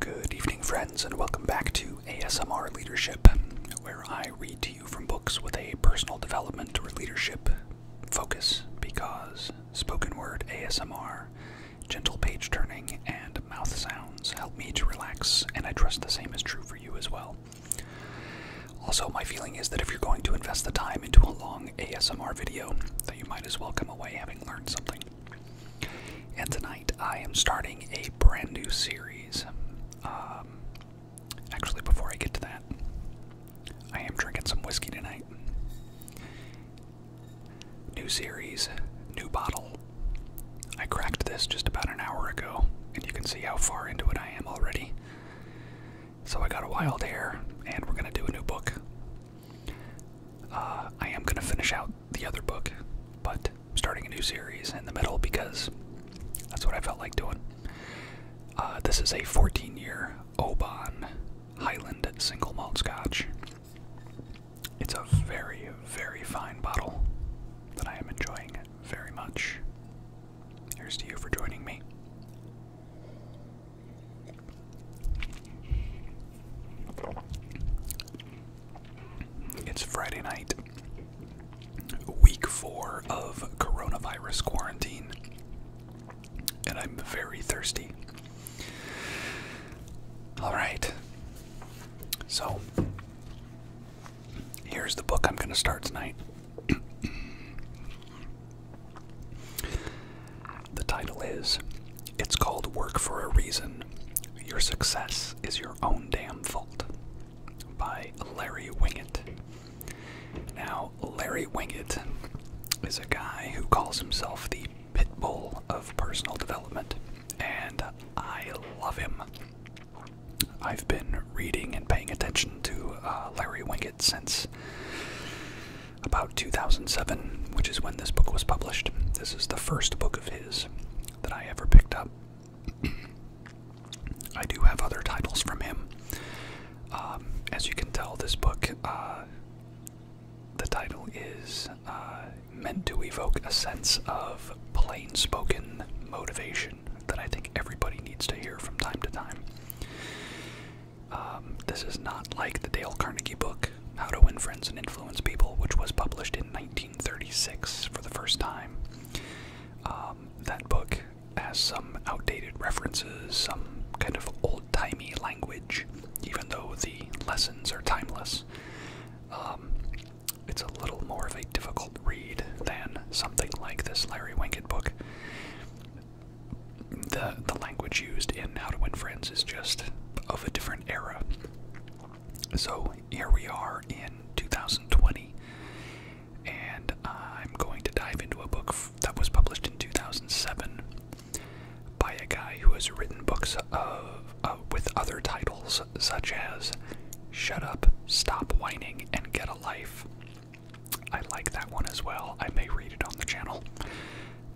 Good evening, friends, and welcome back to ASMR Leadership, where I read to you from books with a personal development or leadership focus because spoken word ASMR, gentle page turning, and mouth sounds help me to relax, and I trust the same is true for you as well. Also, my feeling is that if you're going to invest the time into a long ASMR video, that you might as well come away having learned something. And tonight I am starting a brand new series. Um, actually, before I get to that, I am drinking some whiskey tonight. New series, new bottle. I cracked this just about an hour ago, and you can see how far into it I am already. So I got a wild hair, and we're gonna do a new book. Uh, I am going to finish out the other book, but I'm starting a new series in the middle because that's what I felt like doing. Uh, this is a 14 year Oban Highland single malt scotch. It's a very, very fine bottle that I am enjoying very much. Here's to you for joining me. It's Friday night, week four of coronavirus quarantine, and I'm very thirsty. Alright, so here's the book I'm going to start tonight. The title is It's Called Work for a Reason Your Success is Your Own Damn Fault by Larry Winget. Now, Larry Winget is a guy who calls himself the pit bull of personal development, and I love him. I've been reading and paying attention to uh, Larry Winget since about 2007, which is when this book was published. This is the first book of his that I ever picked up. I do have other titles from him. Um, as you can tell, this book, uh, the title is uh, meant to evoke a sense of plain spoken motivation that I think everybody needs to hear from time to time. Um, this is not like the Dale Carnegie book. How to Win Friends and Influence People, which was published in 1936 for the first time. Um, that book has some outdated references, some kind of old timey language, even though the lessons are timeless. Um, it's a little more of a difficult read than something like this Larry Winkett book. The, the language used in How to Win Friends is just of a different era. So here we are in 2020, and I'm going to dive into a book that was published in 2007 by a guy who has written books of, uh, with other titles such as Shut Up, Stop Whining, and Get a Life. I like that one as well. I may read it on the channel.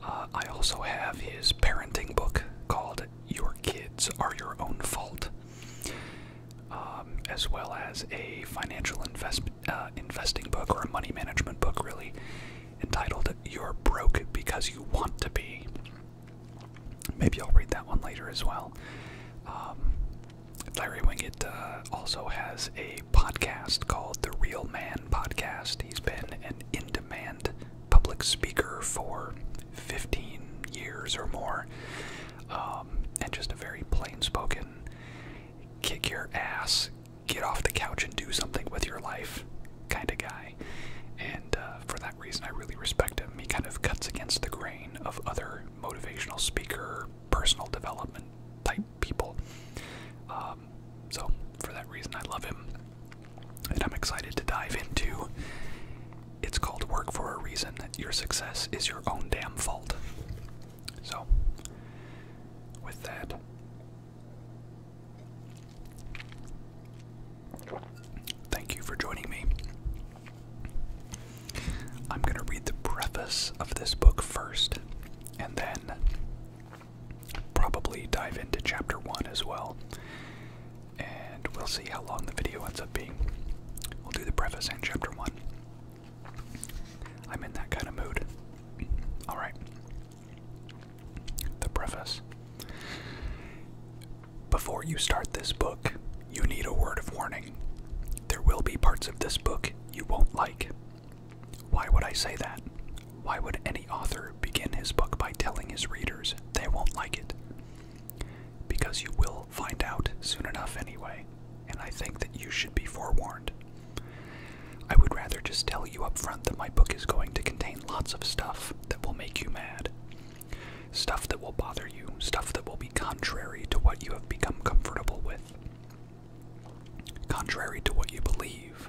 Uh, I also have his parenting book called Your Kids Are Your Own Fault, um, as well as a financial invest, uh, investing book or a money management book, really, entitled You're Broke Because You Want to Be. Maybe I'll read that one later as well. Um, Larry Wingett uh, also has a podcast called The Real Man Podcast. He's been an in demand public speaker for 15 years or more, um, and just a very plain spoken kick your ass, get off the couch, and do something with your life kind of guy. And uh, for that reason, I really respect him. He kind of cuts against the grain of other motivational speaker, personal development type people. Um, so for that reason, I love him. And I'm excited to dive into It's Called Work for a Reason. Your success is your own damn fault. So, with that, thank you for joining me. I'm going to read the preface of this book first, and then probably dive into chapter one as well and we'll see how long the video ends up being. We'll do the preface and chapter one. I'm in that kind of mood. Alright. The preface. Before you start this book, you need a word of warning. There will be parts of this book you won't like. Why would I say that? Why would any author begin his book by telling his readers they won't like it? Because you will find out soon enough anyway, and I think that you should be forewarned. I would rather just tell you up front that my book is going to contain lots of stuff that will make you mad. Stuff that will bother you, stuff that will be contrary to what you have become comfortable with, contrary to what you believe,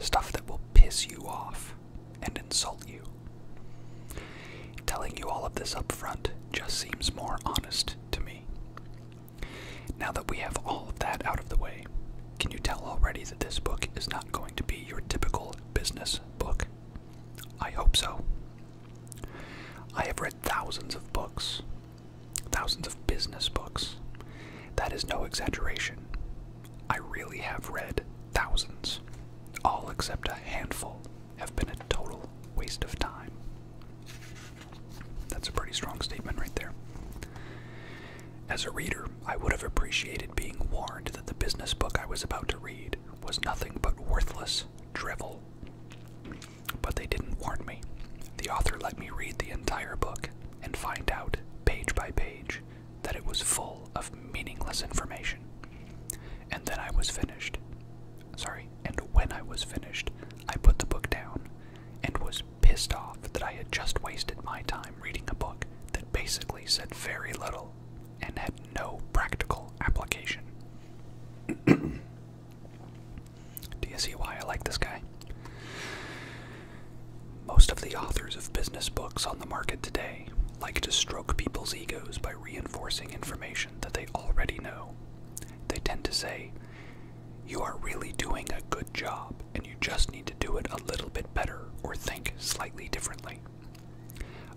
stuff that will piss you off, and insult you. Telling you all of this up front just seems more honest to me. Now that we have all of that out of the way, can you tell already that this book is not going to be your typical business book? I hope so. I have read thousands of books, thousands of business books. That is no exaggeration. I really have read thousands. All except a handful have been a total waste of time. That's a pretty strong statement right there. As a reader, I would have appreciated being warned that the business book I was about to read was nothing but worthless drivel. But they didn't warn me. The author let me read the entire book and find out, page by page, that it was full of meaningless information. And then I was finished. Sorry, and when I was finished, I put the book down and was pissed off that I had just wasted my time reading a book that basically said very little and had no practical application. Do you see why I like this guy? Most of the authors of business books on the market today like to stroke people's egos by reinforcing information that they already know. They tend to say, You are really doing a good job, and you just need to do it a little bit better or think slightly differently.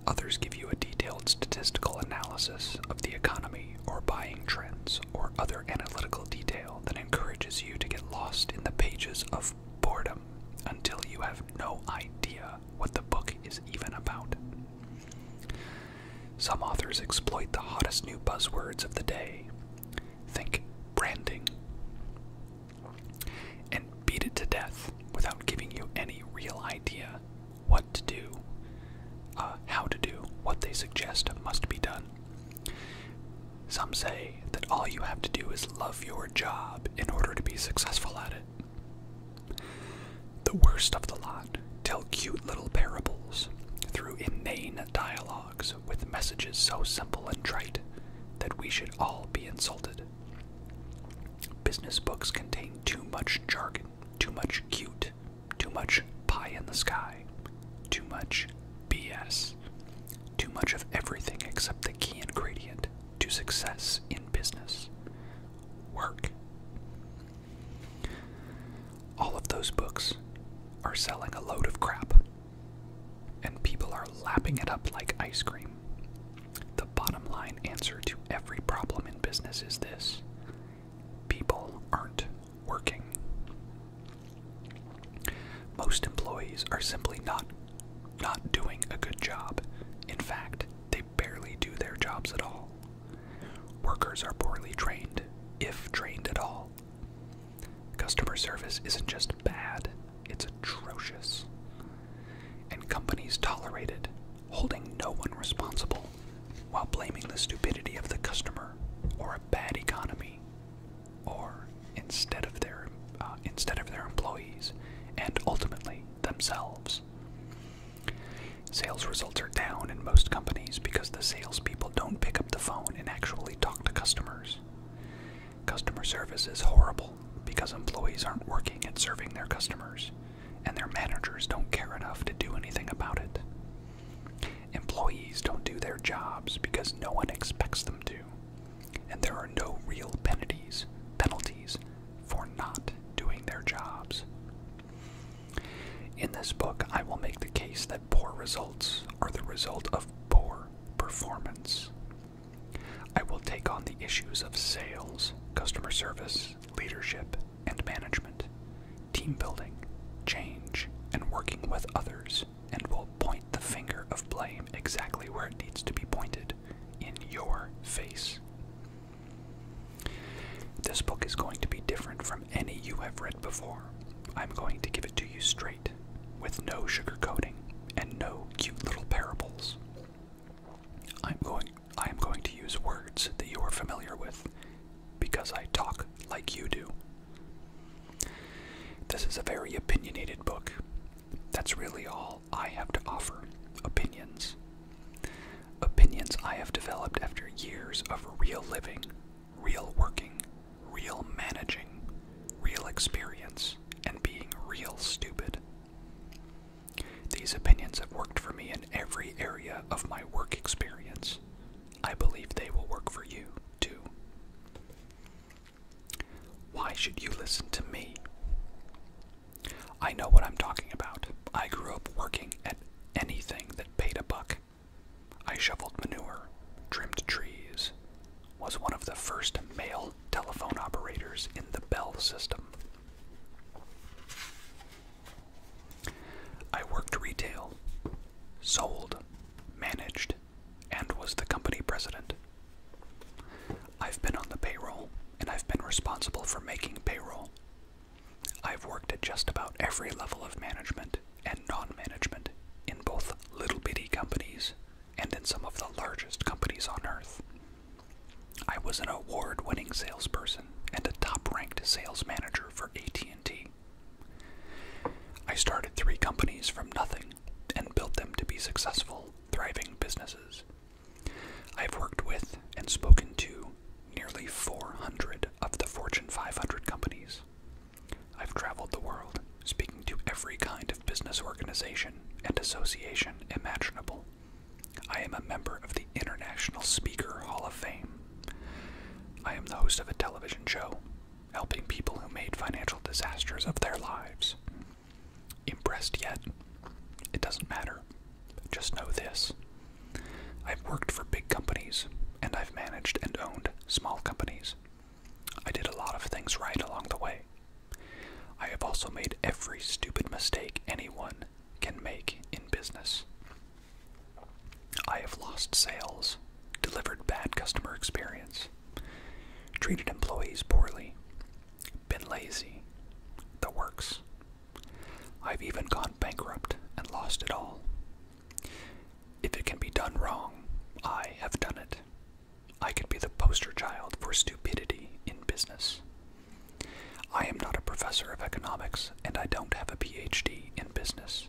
Others give you a detailed statistical analysis of the economy or buying trends or other analytical detail that encourages you to get lost in the pages of boredom until you have no idea what the book is even about. Some authors exploit the hottest new buzzwords of the day. Think branding. And beat it to death without giving you any real idea what to do, uh, how to do, what they suggest must be done. Some say that all you have to do is love your job in order to be successful at it. The worst of the lot tell cute little parables through inane dialogues with messages so simple and trite that we should all be insulted. Business books contain too much jargon, too much cute, too much pie in the sky, too much BS, too much of everything except the key ingredient to success in business work. All of those books are selling a load of crap, and people are lapping it up like ice cream. The bottom line answer to every problem in business is this people aren't working. Most employees are simply not not doing a good job. In fact, they barely do their jobs at all. Workers are poorly trained, if trained at all. Customer service isn't just bad, it's atrocious. And companies tolerate it, holding no one responsible while blaming the stupidity of the customer or a bad economy or instead of their uh, instead of their employees and ultimately themselves. Sales results are down in most companies because the salespeople don't pick up the phone and actually talk to customers. Customer service is horrible because employees aren't working and serving their customers, and their managers don't care enough to do anything about it. Employees don't do their jobs because no one expects them to, and there are no real penalties, penalties for not doing their jobs. In this book, I will make the case that poor results are the result of poor performance. I will take on the issues of sales, customer service, leadership, and management, team building, change, and working with others, and will point the finger of blame exactly where it needs to be pointed in your face. This book is going to be different from any you have read before. I'm going to give it to you straight, with no sugarcoating and no cute little parables. I'm going I am going to use words that you are familiar with because I talk like you do. This is a very opinionated book that's really all I have to offer opinions. Opinions I have developed after years of real living, real working, real managing, real experience, and being real stupid. These opinions have worked for me in every area of my work experience. I believe they will work for you, too. Why should you listen to me? I know what I'm talking about. I grew up working at anything that paid a buck. I shoveled manure, trimmed trees, was one of the first male telephone operators in the Bell system. I worked retail, sold, managed, and was the company president. I've been on the payroll, and I've been responsible for making payroll. I've worked at just about every level of management and non management in both little bitty companies and in some of the largest companies on earth. I was an award winning salesperson and a top ranked sales manager for AT&T. I started three companies from nothing and built them to be successful, thriving businesses. I've worked with and spoken to nearly 400 of the Fortune 500 companies. I've traveled the world, speaking to every kind of business organization and association imaginable. I am a member of the International Speaker Hall of Fame. I am the host of a television show, helping people who made financial disasters of their lives impressed yet. It doesn't matter. Just know this. I've worked for big companies, and I've managed and owned small companies. I did a lot of things right along the way. I have also made every stupid mistake anyone can make in business. I have lost sales, delivered bad customer experience, treated employees poorly, been lazy, the works. I've even gone bankrupt and lost it all. If it can be done wrong, I have done it. I could be the poster child for stupidity in business. I am not a professor of economics, and I don't have a PhD in business.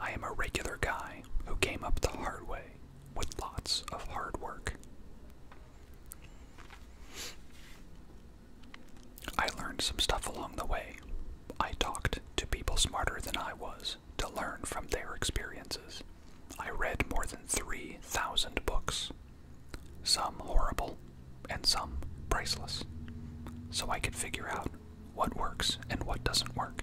I am a regular guy who came up the hard way with lots of hard work. I learned some stuff along the way. I talked to people smarter than I was to learn from their experiences. I read more than 3,000 books, some horrible and some priceless, so I could figure out what works and what doesn't work.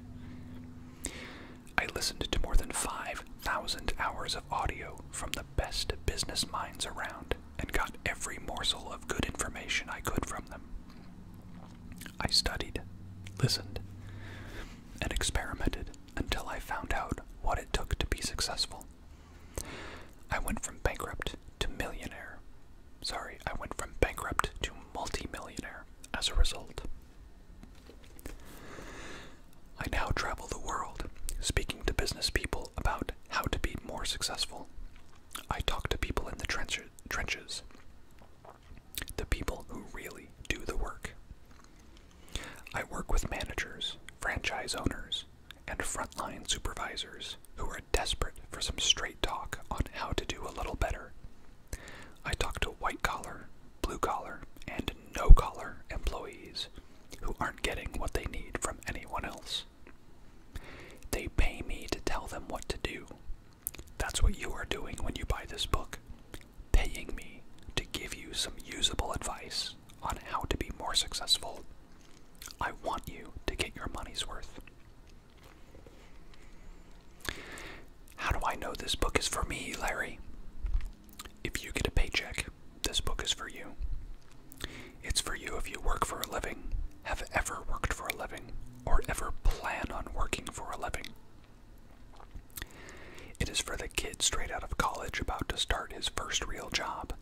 I listened to more than 5,000 hours of audio from the best business minds around and got every morsel of good information I could from them. I studied, listened, and experimented until I found out what it took to be successful. I went from bankrupt to millionaire. Sorry, I went from bankrupt to multimillionaire as a result. I now travel the world, speaking to business people about how to be more successful. I talk to people in the trenches, the people who really do the work. I work with managers, franchise owners, and frontline supervisors who are desperate for some straight talk on how to do a little better. I talk to white collar, blue collar, and no collar employees who aren't getting what they need from anyone else. They pay me to tell them what to do. That's what you are doing when you buy this book. Paying me to give you some usable advice on how to be more successful. I want you to get your money's worth. How do I know this book is for me, Larry? If you get a paycheck this book is for you. It's for you if you work for a living, have ever worked for a living, or ever plan on working for a living. It is for the kid straight out of college about to start his first real job,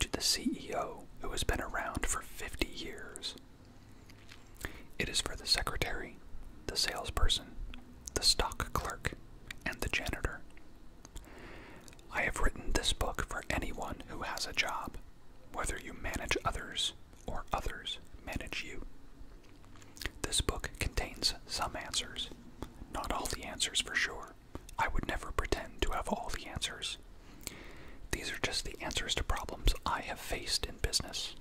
to the CEO who has been around for 50 years. It is for the secretary, the salesperson, the stock clerk, and the janitor. I have written this book for anyone who has a job, whether you manage others or others manage you. This book contains some answers, not all the answers for sure. I would never pretend to have all the answers. These are just the answers to problems I have faced in business.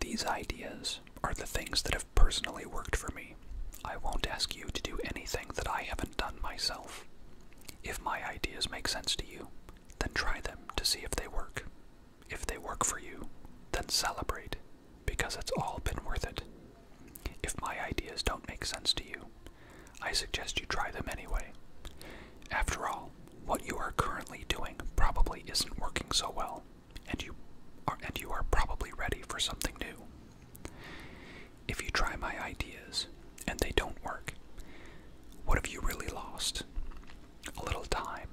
These ideas are the things that have personally worked for me. I won't ask you to do anything that I haven't done myself. If my ideas make sense to you, then try them to see if they work. If they work for you, then celebrate, because it's all been worth it. If my ideas don't make sense to you, I suggest you try them anyway. After all, what you are currently doing probably isn't working so well, and you are, and you are probably ready for something new. If you try my ideas and they don't work, what have you really lost? A little time,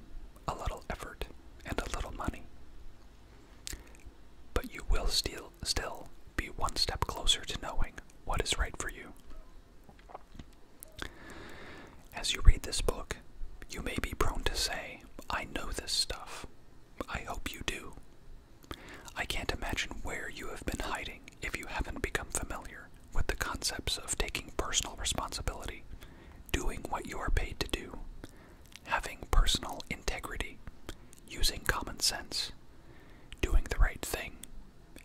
a little effort, and a little money. But you will still, still be one step closer to knowing what is right for you. As you read this book, you may be prone to say, I know this stuff. I hope you do. I can't imagine where you have been hiding if you haven't become familiar with the concepts of taking personal responsibility, doing what you are paid to do, having personal integrity, using common sense, doing the right thing,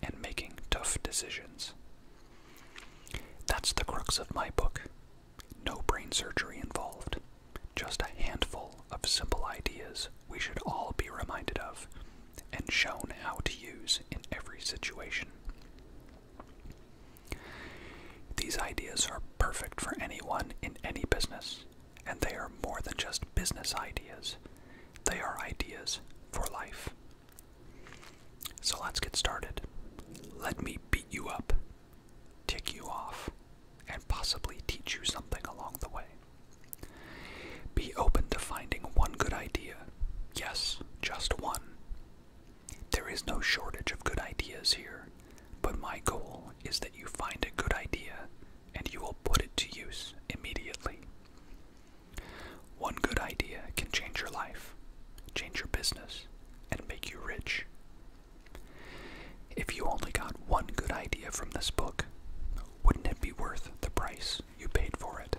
and making tough decisions. That's the crux of my book. No brain surgery involved. Just a handful of simple ideas we should all be reminded of and shown how to use in every situation. These ideas are perfect for anyone in any business, and they are more than just business ideas. They are ideas for life. So let's get started. Let me beat you up tick you off, and possibly teach you something along the way. Be open to finding one good idea. Yes, just one. There is no shortage of good ideas here, but my goal is that you find a good idea and you will put it to use immediately. One good idea can change your life, change your business, and make you rich, if you only got one good idea from this book, wouldn't it be worth the price you paid for it?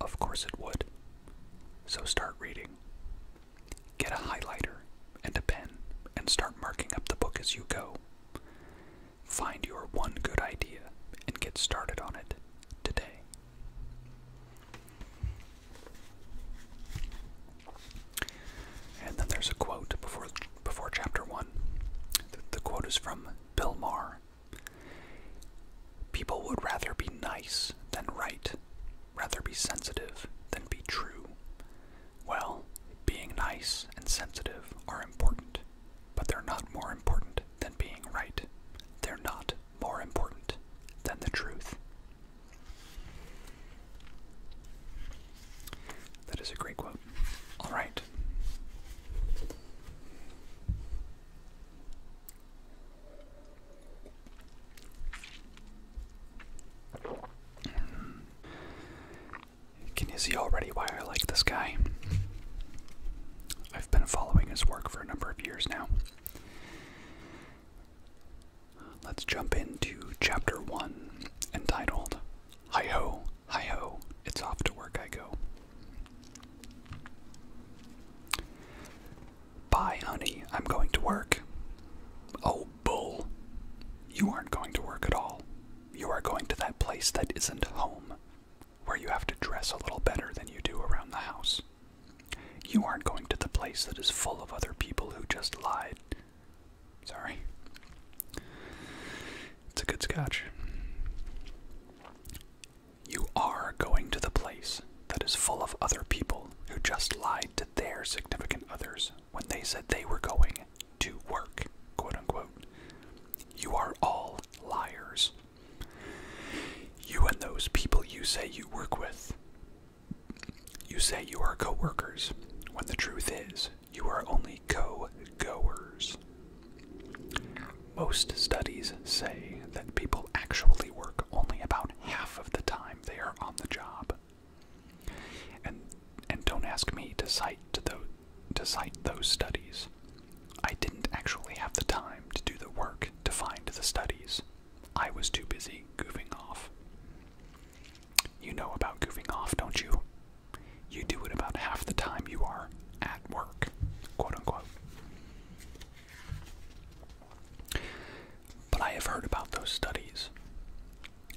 Of course it would. So start reading. Get a highlighter and a pen and start marking up the book as you go. Find your one good idea and get started on it today. And then there's a quote before before chapter one. The, quote is from Bill Maher. People would rather be nice than right, rather be sensitive than be true. Well, being nice and sensitive are important, but they're not more important than being right. They're not more important than the truth. That is a great quote. All right. Can you see already why I like this guy? I've been following his work for a number of years now. Let's jump into chapter 1 entitled Hi ho, hi ho, it's off to work I go. Bye, honey, I'm going to work. Oh, bull. You aren't going to work at all. You are going to that place that isn't home, where you have to dress a little better than you do around the house. You aren't going to the place that is full of other people who just lied Sorry. It's a good scotch. You are going to the place that is full of other people who just lied to their significant others when they said they were going to work, quote unquote. You are all liars. You and those people you say you work with. You say you are co workers when the truth is you are only co goers. Most studies say that people actually work only about half of the time they are on the job. And and don't ask me to cite to those to cite those studies. I didn't actually have the time to do the work to find the studies. I was too busy goofing off. You know about goofing off, don't you? You do it about half the time you are at work, quote unquote. But I have heard about those studies,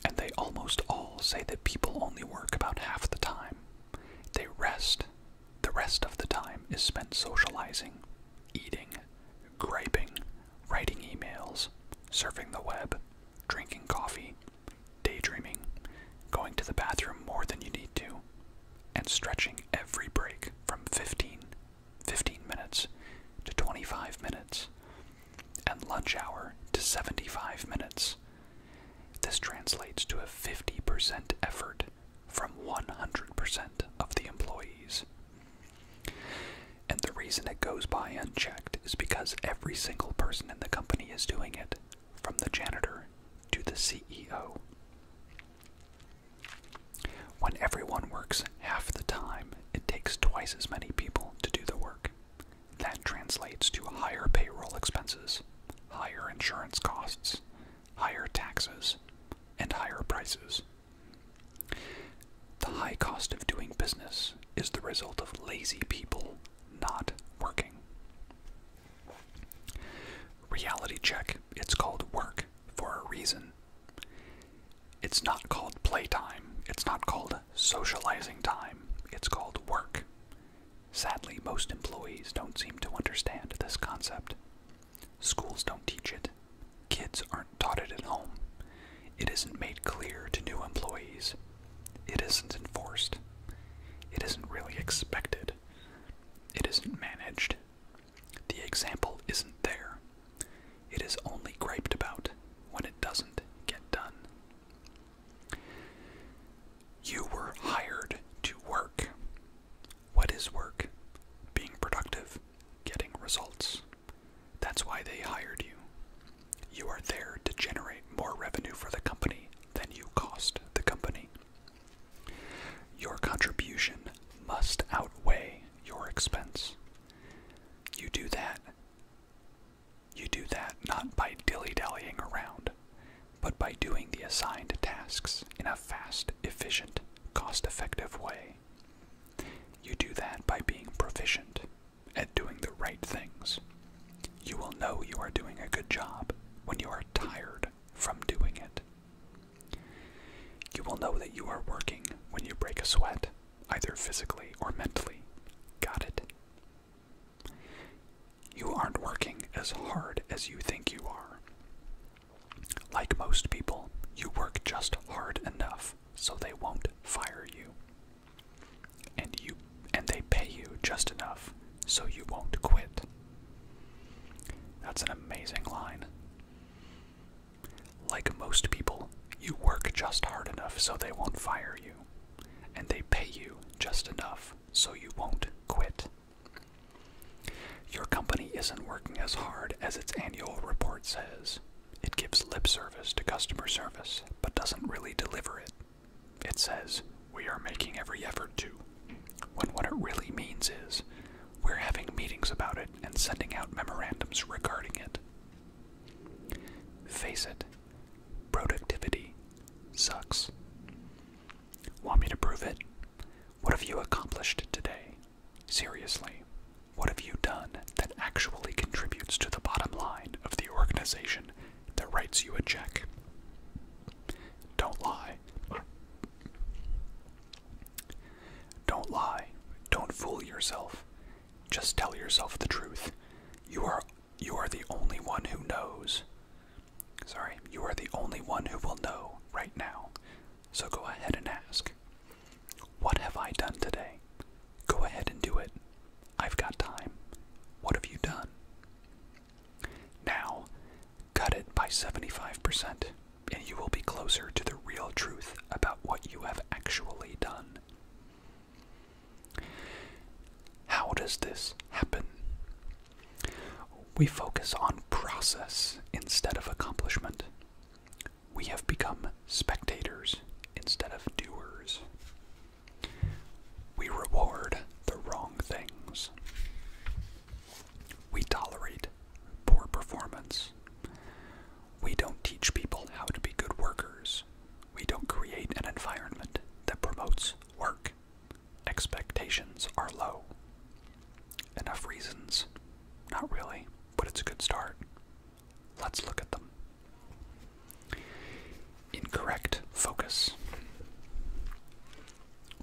and they almost all say that people only work about half the time. They rest. The rest of the time is spent socializing, eating, griping, writing emails, surfing the web, drinking coffee, daydreaming, going to the bathroom more than you need to, and stretching every break from 15, 15 minutes to 25 minutes, and lunch hour to 75 minutes. This translates to a 50% effort from 100% of the employees. And the reason it goes by unchecked is because every single person in the company is doing it, from the janitor to the CEO. When everyone works half the time, it takes twice as many people to do the work. That translates to higher payroll expenses, higher insurance costs, higher taxes, and higher prices. The high cost of doing business is the result of lazy people not working. Reality check. It's called work for a reason. It's not called playtime. It's not called socializing time. It's called work. Sadly, most employees don't seem to understand this concept. Schools don't teach it. Kids aren't taught it at home. It isn't made clear to new employees. It isn't enforced. It isn't really expected. It isn't managed. The example isn't there. It is only griped about when it doesn't get done. You were hired to work. What is work? Being productive, getting results. That's why they hired you. You are there to generate more revenue for the company than you cost the company. Your contribution must outweigh your expense. You do that. You do that not by dilly dallying around, but by doing the assigned tasks in a fast, efficient, cost effective way. You do that by being proficient at doing the right things. You will know you are doing a good job when you are tired from doing it. You will know that you are working when you break a sweat, either physically or mentally. Got it? You aren't working as hard as you think you are. Like most people, you work just hard enough so they won't fire you and you and they pay you just enough so you won't quit. That's an amazing line. Like most people, you work just hard enough so they won't fire you, and they pay you just enough so you won't quit. Your company isn't working as hard as its annual report says. It gives lip service to customer service, but doesn't really deliver it. It says, We are making every effort to, when what it really means is, we're having meetings about it and sending out memorandums regarding it. Face it, productivity sucks. Want me to prove it? What have you accomplished today? Seriously, what have you done that actually contributes to the bottom line of the organization that writes you a check. Don't lie. Don't lie. Don't fool yourself. Just tell yourself the truth. You are you are the only one who knows. Sorry, you are the only one who will know right now. So go ahead and ask. What have I done today? Go ahead and do it. I've got time. What have you done? Now, cut it by 75%, and you will be closer to the real truth about what you have actually done. How does this happen? We focus on process instead of accomplishment. We have become spectators instead of doers. We reward the wrong things. We tolerate poor performance. We don't teach people how to be good workers. We don't create an environment that promotes work. Expectations are low. Enough reasons? Not really, but it's a good start. Let's look at them. Incorrect focus.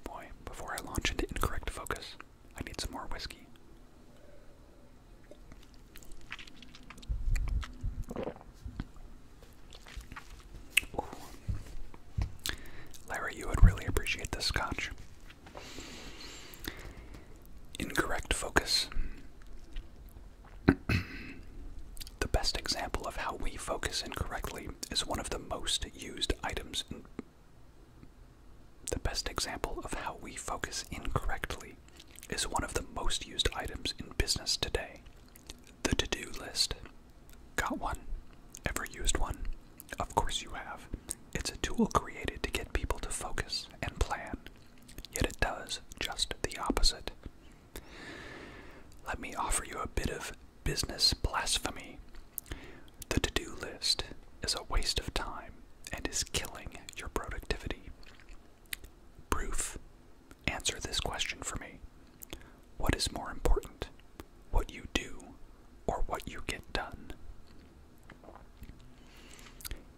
Boy, before I launch into incorrect focus, I need some more whiskey. Larry, you would really appreciate this scotch. Incorrect focus. the best example of how we focus incorrectly is one of the most used items in the best example of how we focus incorrectly is one of the most used items in business today. The to-do list. Got one? Ever used one? Of course you have. It's a tool created to get people to focus and plan. Yet it does just the opposite. Let me offer you a bit of business blasphemy. The to do list is a waste of time and is killing your productivity. Proof. Answer this question for me. What is more important, what you do or what you get done?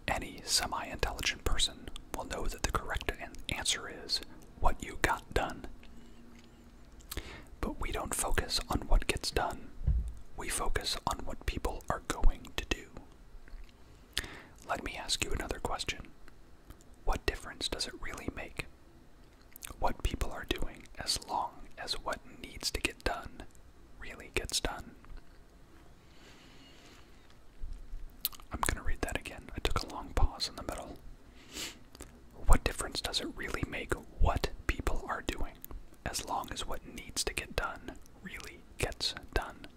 Any semi intelligent person will know that the correct answer is what you got done. But we don't focus on what gets done, we focus on what people are going to do. Let me ask you another question What difference does it really make? What people are doing as long as what needs to get done really gets done. I'm going to read that again. I took a long pause in the middle. What difference does it really make what people are doing, as long as what needs to get done really gets done?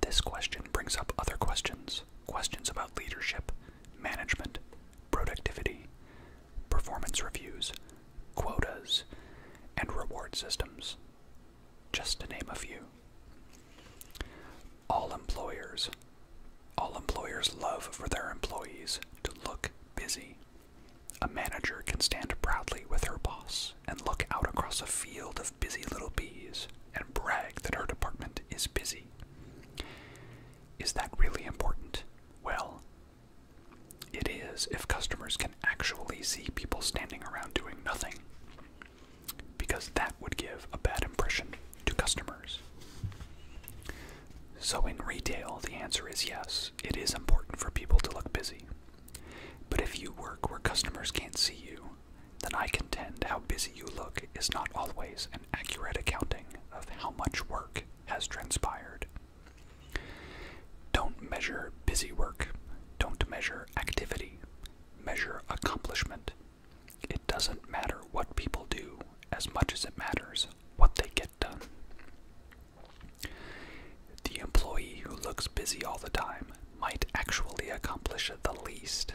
This question brings up other questions questions about leadership, management, productivity, performance reviews, quotas, and reward systems, just to name a few. All employers. All employers love for their employees to look busy. A manager can stand proudly with her boss and look out across a field of busy little bees and brag that her department is busy. Is that really important? Well, it is if customers can actually see people standing around doing nothing, because that would give a bad impression to customers? So, in retail, the answer is yes, it is important for people to look busy. But if you work where customers can't see you, then I contend how busy you look is not always an accurate accounting of how much work has transpired. Don't measure busy work, don't measure activity, measure accomplishment. It doesn't matter what people do as much as it matters what they get done. The employee who looks busy all the time might actually accomplish the least.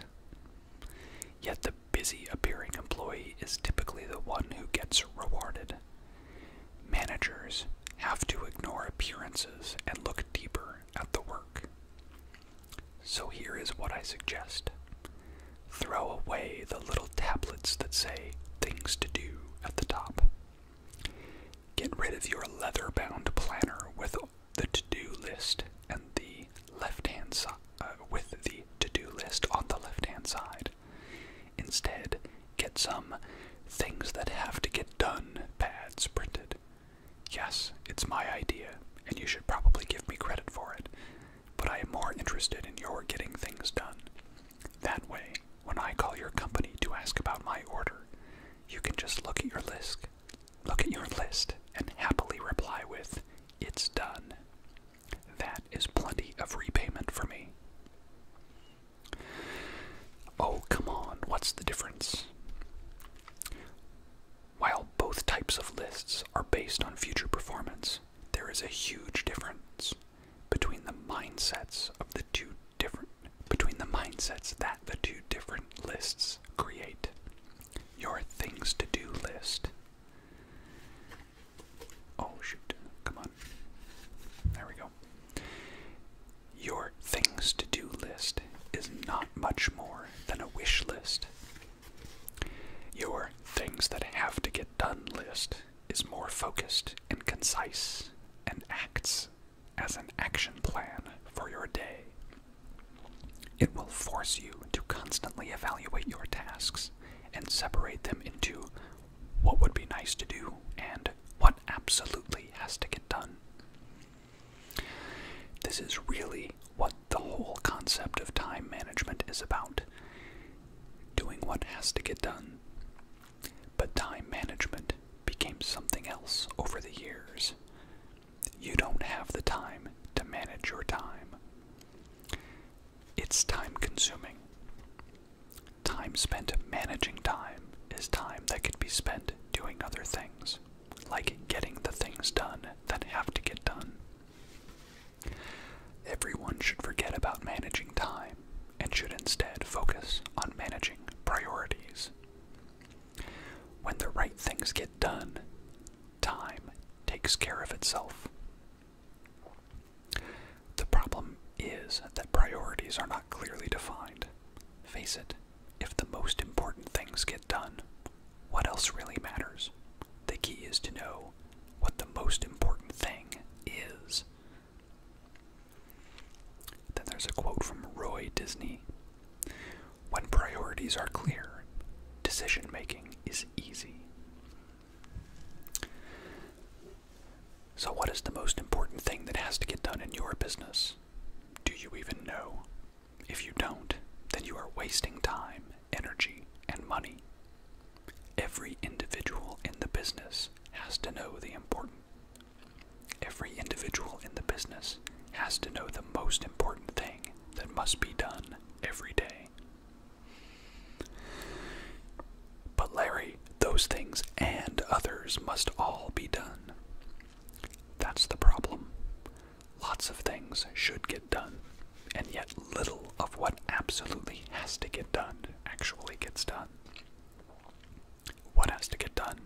Yet the busy appearing employee is typically the one who gets rewarded. Managers have to ignore appearances and look deeper at the work. So here is what I suggest throw away the little tablets that say things to do at the top. Get rid of your leather bound planner with the to do list and the left hand side. Uh, with the to do list on the left hand side. Instead, get some things that have to get done pads printed. Yes, it's my idea, and you should probably give me credit for it but I am more interested in your getting things done. That way, when I call your company to ask about my order, you can just look at your list, look at your list and happily reply with, "It's done." That is plenty of repayment for me. Oh, come on, what's the difference? While both types of lists are based on future performance, there is a huge difference between the mindsets that the two different lists create. Your things to do list. Oh shoot, come on. There we go. Your things to do list is not much more than a wish list your things that have to get done list is more focused and concise and acts as an action plan for your day. It will force you to constantly evaluate your tasks and separate them into what would be nice to do and what absolutely has to get done. This is really what the whole concept of time management is about doing what has to get done. But time management became something else over the years. You don't have the time to manage your time. It's time consuming. Time spent managing time is time that could be spent doing other things, like getting the things done that have to get done. Everyone should forget about managing time and should instead focus on managing priorities. When the right things get done, time takes care of itself. The problem is that priorities are not clearly defined. Face it, if the most important things get done, what else really matters. The key is to know what the most important thing is. Then there's a quote from Roy Disney When priorities are clear, decision making is easy. So, what is the most important thing that has to get done in your business? Do you even know? If you don't, then you are wasting time energy, and money. Every individual in the business has to know the important. Every individual in the business has to know the most important thing that must be done every day. But Larry, those things and others must all be done. That's the problem. Lots of things should get done and yet little of what absolutely has to get done actually gets done. What has to get done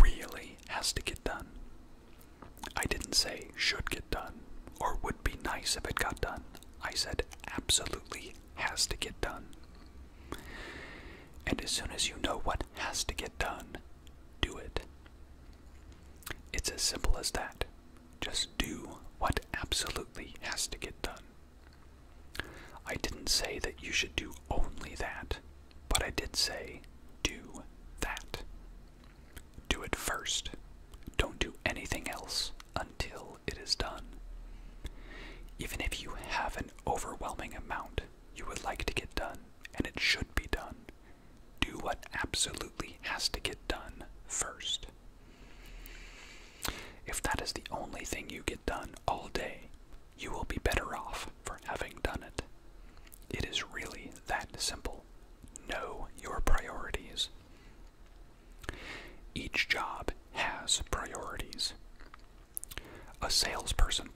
really has to get done. I didn't say should get done or would be nice if it got done. I said absolutely has to get done. And as soon as you know what has to get done, do it. It's as simple as that. Just do what absolutely has to get done. I didn't say that you should do only that, but I did say do that. Do it first. Don't do anything else until it is done. Even if you have an overwhelming amount you would like to get done, and it should be done, do what absolutely has to get done first. If that is the only thing you get done all day, you will be better off for having done it. It is really that simple. Know your priorities. Each job has priorities. A salesperson's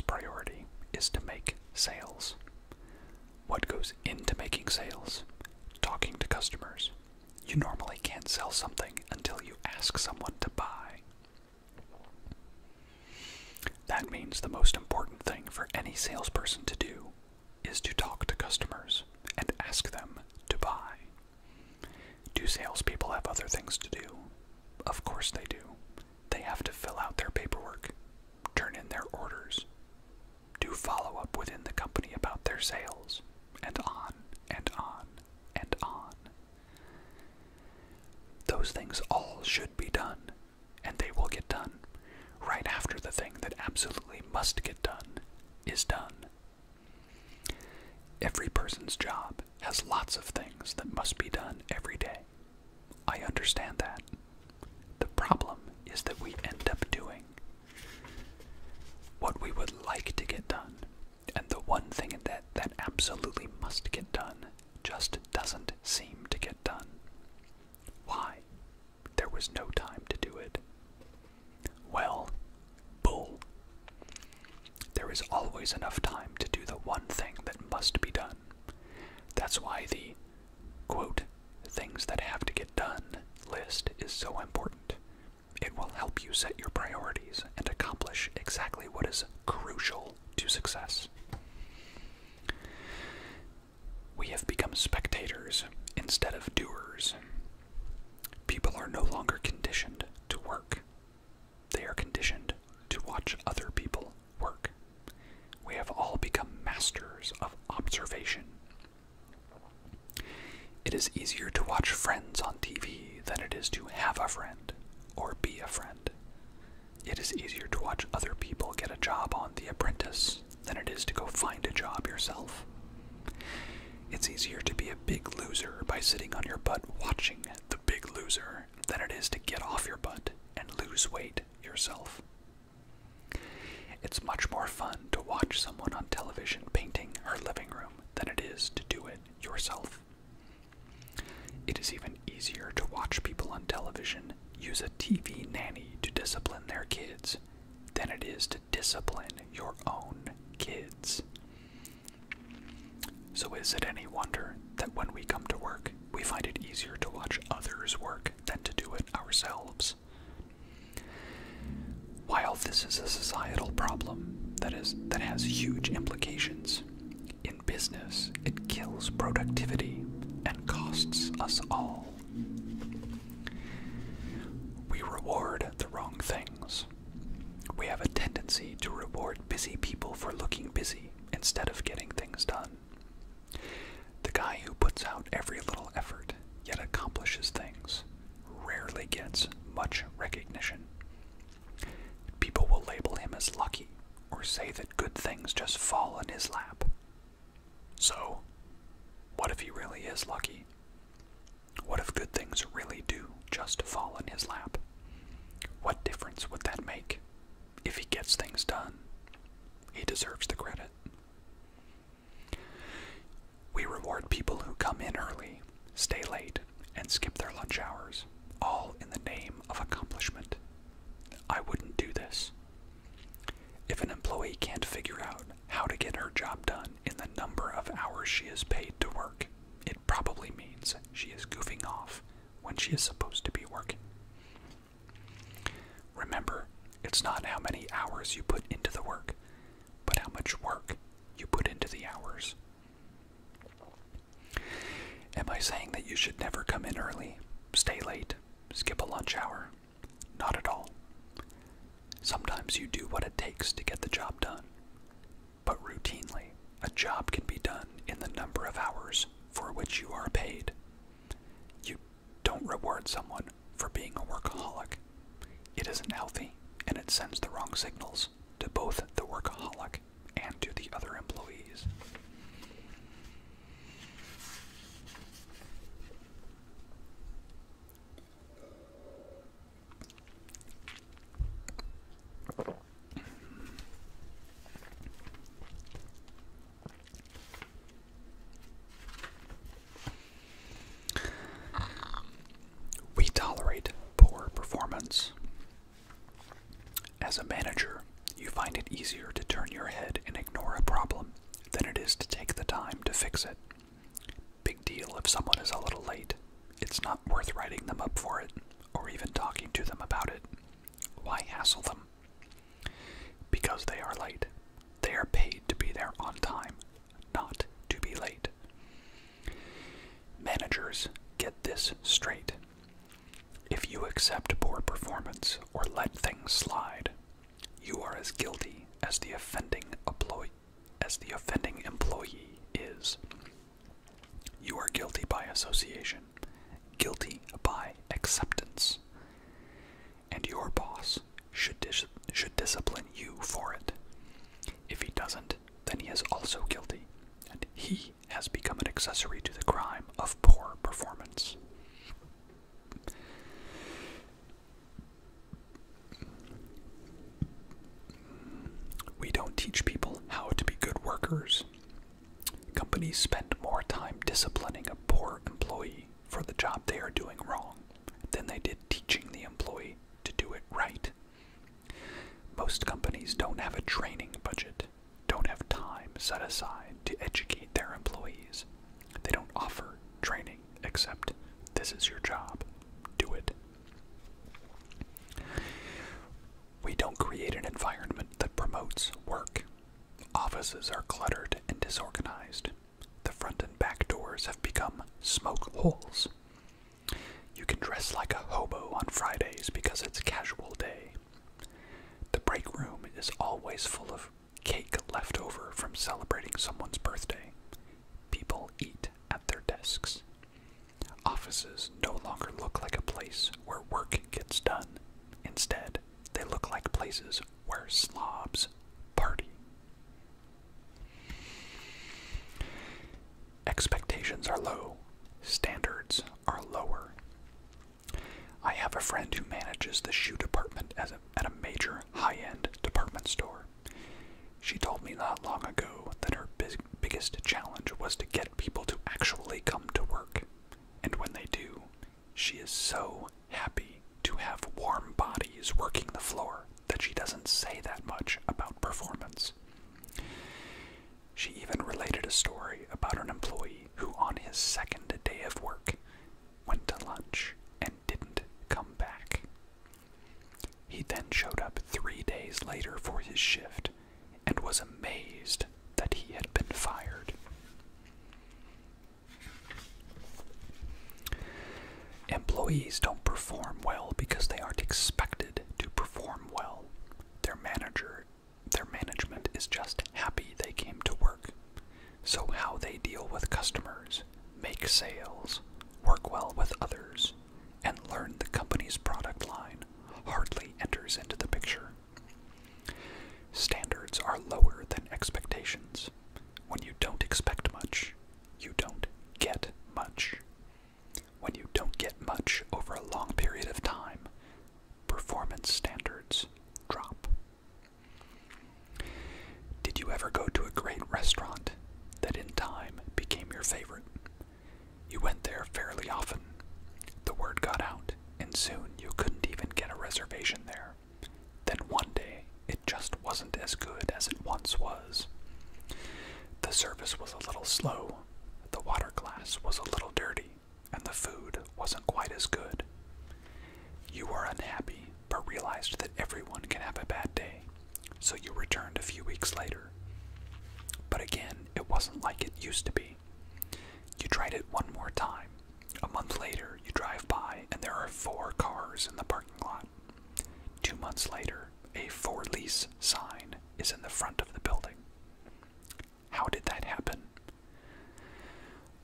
priority is to make sales what goes into making sales, talking to customers. You normally can't sell something until you ask someone to buy. That means the most important thing for any salesperson to do is to talk to customers and ask them to buy. Do salespeople have other things to do? Of course they do. They have to fill out their paperwork, turn in their orders, do follow up within the company about their sales, and on and on and on. Those things all should be done, and they will get done right after the thing that absolutely must get done is done. Every person's job has lots of things that must be done every day. I understand that. The problem is that we end up doing what we would like to get done, and the one thing that, that absolutely must get done just doesn't seem to get done. Why? There was no time to do it. Well, bull. There is always enough time to do the one thing that must be done. That's why the Quote, things that have to get done list is so important. It will help you set your priorities and accomplish exactly what is crucial to success. We have become spectators instead of doers. People are no longer conditioned to work. They are conditioned to watch other people work. We have all become masters of observation it is easier to watch friends on TV than it is to have a friend or be a friend. It is easier to watch other people get a job on The Apprentice than it is to go find a job yourself. It's easier to be a big loser by sitting on your butt watching The Big Loser than it is to get off your butt and lose weight yourself. It's much more fun to watch someone on television painting her living room than it is to do it yourself. It is even easier to watch people on television use a TV nanny to discipline their kids than it is to discipline your own kids. So, is it any wonder that when we come to work, we find it easier to watch others work than to do it ourselves? While this is a societal problem that is that has huge implications, in business it kills productivity and costs us all. We reward the wrong things. We have a tendency to reward busy people for looking busy instead of getting things done. The guy who puts out every little effort yet accomplishes things rarely gets much recognition. People will label him as lucky or say that good things just fall in his lap. So, what if he really is lucky? What if good things really do just fall in his lap? What difference would that make? If he gets things done, he deserves the credit. We reward people who come in early, stay late, and skip their lunch hours, all in the name of accomplishment. I wouldn't do this. If an employee can't figure out how to get her job done in the number of hours she is paid to work, it probably means she is goofing off when she is supposed to be working. Remember, it's not how many hours you put into the work, but how much work you put into the hours. Am I saying that you should never come in early, stay late, skip a lunch hour? Not at all. Sometimes you do what it takes to get the job done, but routinely, a job can be done in the number of hours for which you are paid. You don't reward someone for being a workaholic. It isn't healthy and it sends the wrong signals to both the workaholic and to the other employees. We tolerate poor performance. As a manager, you find it easier to turn your head and ignore a problem than it is to take the time to fix it. Big deal if someone is a little late. It's not worth writing them up for it or even talking to them about it. Why hassle them? Because they are late. They are paid to be there on time, not to be late. Managers, get this straight. If you accept poor performance or let things slide, you are as guilty as the offending employee is. You are guilty by association, guilty by acceptance and your boss should, should discipline you for it. If he doesn't, then he is also guilty, and he has become an accessory to the crime of poor performance. We don't teach people how to be good workers. Companies spend more time disciplining a poor employee for the job they are doing wrong than they did teaching the employee to do it right. Most companies don't have a training budget, don't have time set aside to educate their employees. They don't offer training except this is your job, do it. We don't create an environment that promotes work. Offices are cluttered and disorganized. The front and back doors have become smoke holes. You can dress like a hobo on Fridays because it's casual day. The break room is always full of cake left over from celebrating someone's birthday. People eat at their desks. Offices no longer look like a place where work gets done. Instead, they look like places where slobs party. Expectations are low, standards are lower. I have a friend who manages the shoe department at a major high end department store. She told me not long ago that her biggest challenge was to get people to actually come to work. And when they do, she is so happy to have warm bodies working the floor that she doesn't say that much about performance. She even related a story about an employee who, on his second day of work, went to lunch and didn't come back. He then showed up three days later for his shift and was amazed that he had been fired. Employees don't perform well because they aren't expected to perform well. Their manager their management is just happy they came to work. So how they deal with customers, make sales, work well with others, and learn the company's product line hardly enters into the picture. Standards are lower than expectations. When you don't expect much, you don't get much. When you don't get much over a long period of time, performance standards drop. Did you ever go to a great restaurant that in time became your favorite? You went there fairly often. The word got out, and soon you couldn't even get a reservation there. Then one day, it just wasn't as good as it once was. The service was a little slow, the water glass was a little dirty, and the food wasn't quite as good. You were unhappy, but realized that everyone can have a bad day, so you returned a few weeks later. But again, it wasn't like it used to be. You tried it one more time. A month later, you drive by, and there are four cars in the parking lot. Two months later, a for lease sign is in the front of the building. How did that happen?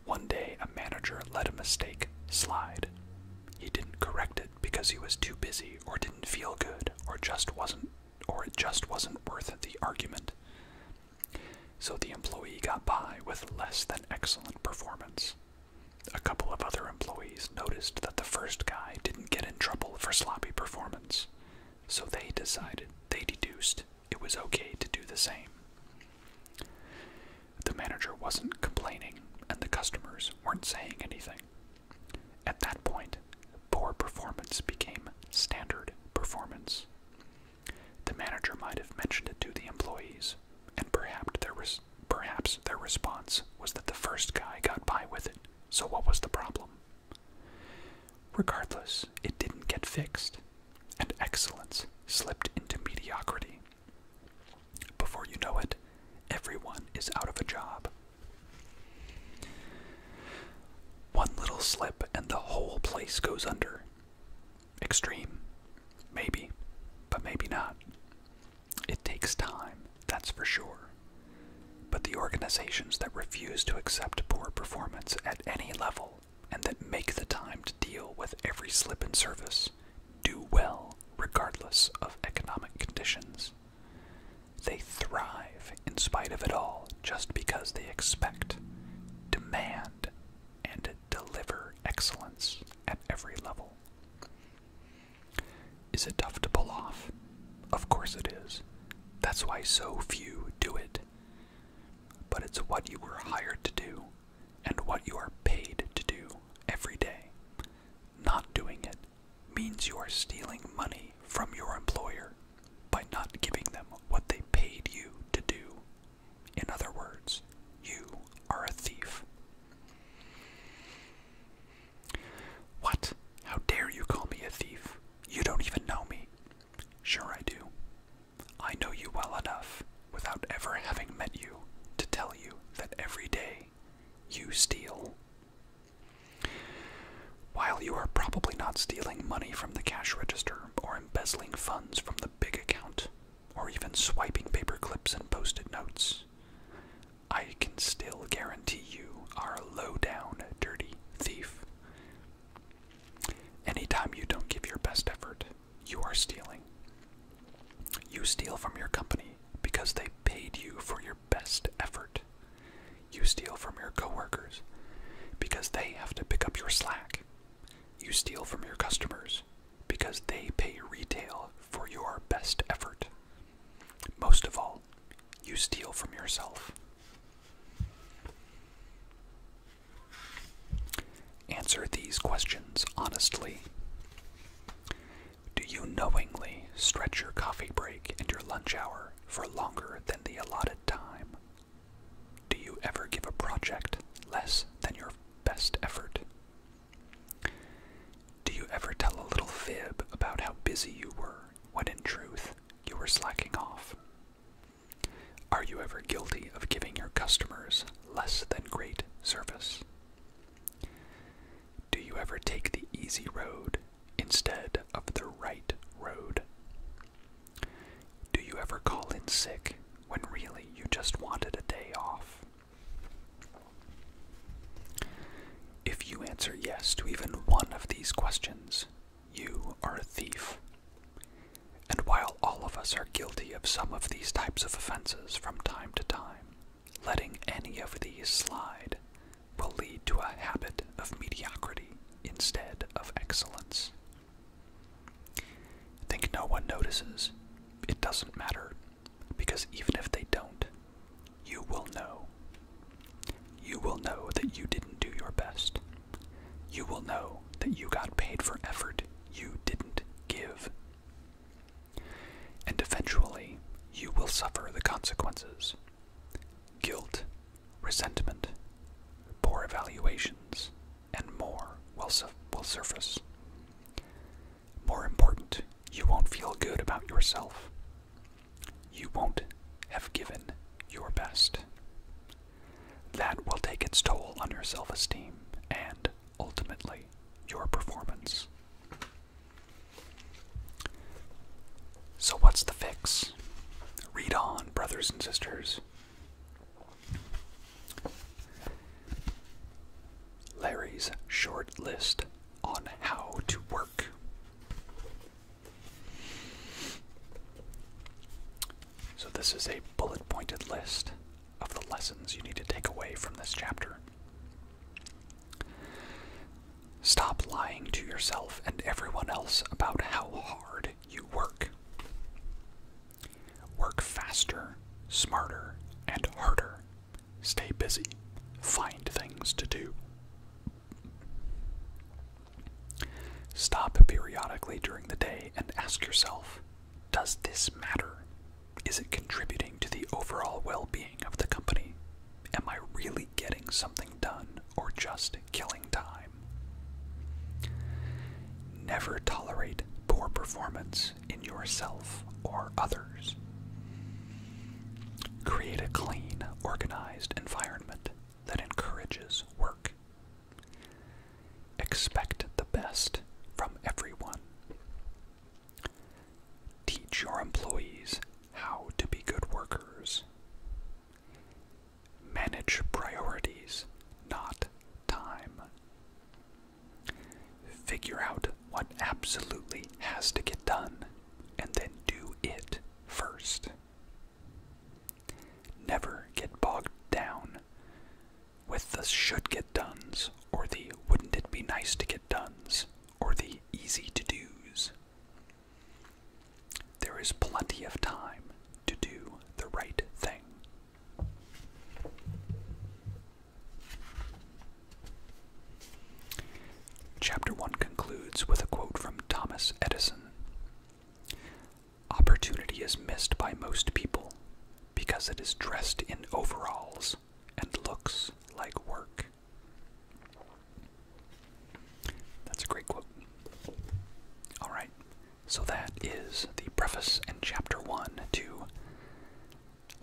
One day, a manager let a mistake slide. He didn't correct it because he was too busy or didn't feel good or just wasn't or it just wasn't worth the argument. So the employee got by with less than excellent performance. A couple of other employees noticed that the first guy didn't get in trouble for sloppy performance, so they decided, they deduced, it was okay to do the same. The manager wasn't complaining, and the customers weren't saying anything. At that point, poor performance became standard performance. The manager might have mentioned it to the employees, and perhaps there was Perhaps their response was that the first guy got by with it, so what was the problem? Regardless, it didn't get fixed, and excellence slipped into mediocrity. Before you know it, everyone is out of a job. One little slip and the whole place goes under. Extreme, maybe, but maybe not. It takes time, that's for sure. But the organizations that refuse to accept poor performance at any level and that make the time to deal with every slip in service do well regardless of economic conditions. They thrive in spite of it all just because they expect, demand, and deliver excellence at every level. Is it tough to pull off? Of course it is. That's why so few do it. But it's what you were hired to do and what you are paid to do every day. Not doing it means you are stealing money from your employer by not giving them what they paid you to do. In other words, you are a thief. What? How dare you call me a thief? You don't even know me. Sure, I do. I know you well enough, without ever having met you, to tell you that every day you steal. While you are probably not stealing money from the cash register or embezzling funds from the big account, or even swiping paper clips and post it notes, I can still guarantee you are a low down, dirty thief. Anytime you don't give your best effort, you are stealing. You steal from your company because they paid you for your best effort. You steal from your coworkers because they have to pick up your slack. You steal from your customers because they pay retail for your best effort. Most of all, you steal from yourself. Answer these questions honestly. Do you knowingly stretch your coffee break and your lunch hour for longer than the allotted time? Do you ever give a project less than your best effort? Do you ever tell a little fib about how busy you were when in truth you were slacking off? Are you ever guilty of giving your customers less than great service? Do you ever take the easy road instead of the right road? Do you ever call in sick when really you just wanted a day off? If you answer yes to even one of these questions, you are a thief. And while all of us are guilty of some of these types of offenses from time to time, letting any of these slide will lead to a habit of mediocrity instead of excellence. Think no one notices. It doesn't matter because even if they don't, you will know. You will know that you didn't do your best. You will know that you got paid for effort you didn't give. And eventually, you will suffer the consequences guilt, resentment, poor evaluations, and more will, will surface. More important, you won't feel good about yourself. You won't have given your best. That will take its toll on your self esteem and, ultimately, your performance. So, what's the fix? Read on, brothers and sisters. Larry's short list on how to work. So, this is a bullet pointed list of the lessons you need to take away from this chapter. Stop lying to yourself and everyone else about how hard you work. Work faster, smarter, and harder Stay busy. Find things to do. Stop periodically during the day and ask yourself Does this matter? Is it contributing to the overall well being of the company? Am I really getting something done or just killing time? Never tolerate poor performance in yourself or others. Create a clean, organized environment that encourages work. Expect the best from everyone. Teach your employees how to be good workers. Manage priorities, not time figure out what absolutely has to get done, and then do it first. Never get bogged down with the should get duns or the wouldn't it be nice to get duns or the easy to do's. There is plenty of time to do the right thing. Chapter 1 concludes with a quote from Thomas Edison Opportunity is missed by most people because it is dressed in overalls and looks like work. That's a great quote. Alright, so that is the preface and chapter 1 to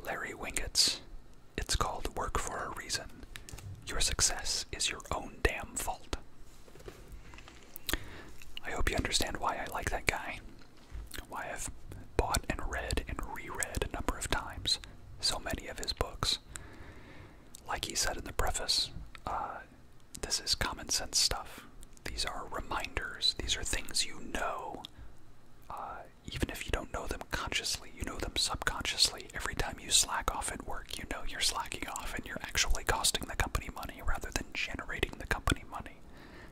Larry Wingett's. It's called Work for a Reason. Your success is your own damn fault. I hope you understand why I like that guy, why I've bought and read and reread a number of times so many of his books. Like he said in the preface, uh, this is common sense stuff. These are reminders, these are things you know. Uh, even if you don't know them consciously, you know them subconsciously. Every time you slack off at work, you know you're slacking off and you're actually costing the company money rather than generating the company money.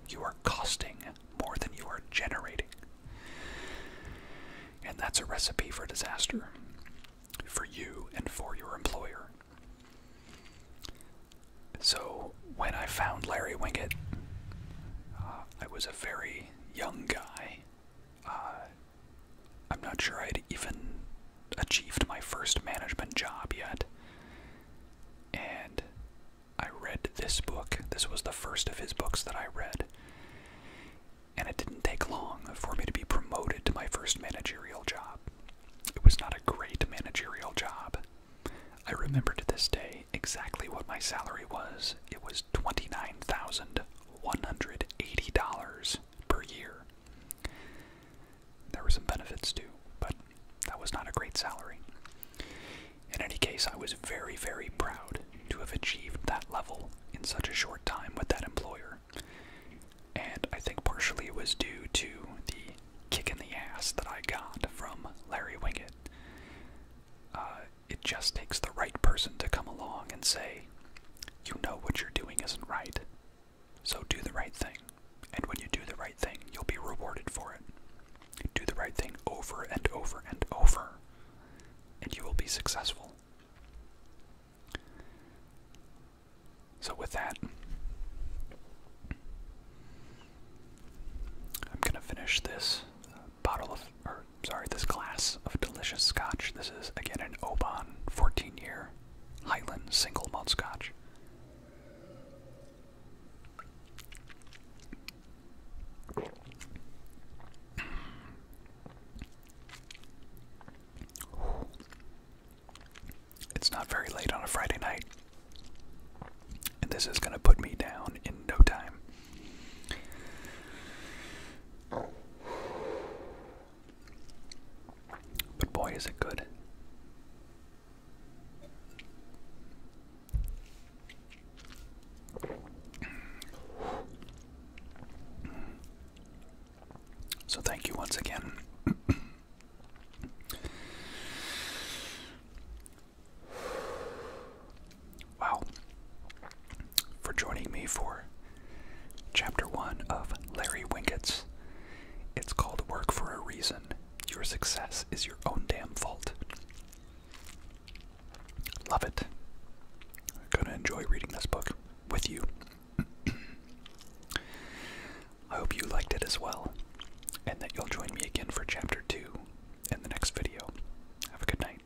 You are costing more than you are generating. And that's a recipe for disaster for you and for your employer. So, when I found Larry Wingett, uh, I was a very young guy uh, I'm not sure I'd even achieved my first management job yet. And I read this book. This was the first of his books that I read. And it didn't take long for me to be promoted to my first managerial job. It was not a great managerial job. I remember to this day exactly what my salary was. It was $29,000 $180 per year. There were some benefits too, but that was not a great salary. In any case, I was very, very proud to have achieved that level in such a short time with that employer. And I think partially it was due to the kick in the ass that I got from Larry Wingett. Uh, it just takes the right person to come along and say, You know what you're doing isn't right, so do the right thing. And when you do the right thing, you'll be rewarded for it. Do the right thing over and over and over, and you will be successful. So, with that, I'm going to finish this bottle of, sorry, this glass of delicious scotch. This is again an Oban 14 year Highland single malt scotch. It's not very late on a Friday night, and this is going to put me down in no time. But boy, is it good. So, thank you once again. Wow. For joining me for chapter one of Larry Winkett's. It's called Work for a Reason. Your success is your own damn fault. Love it. I'm gonna enjoy reading this book with you. I hope you liked it as well, and that you'll join me again for chapter 2 in the next video. Have a good night.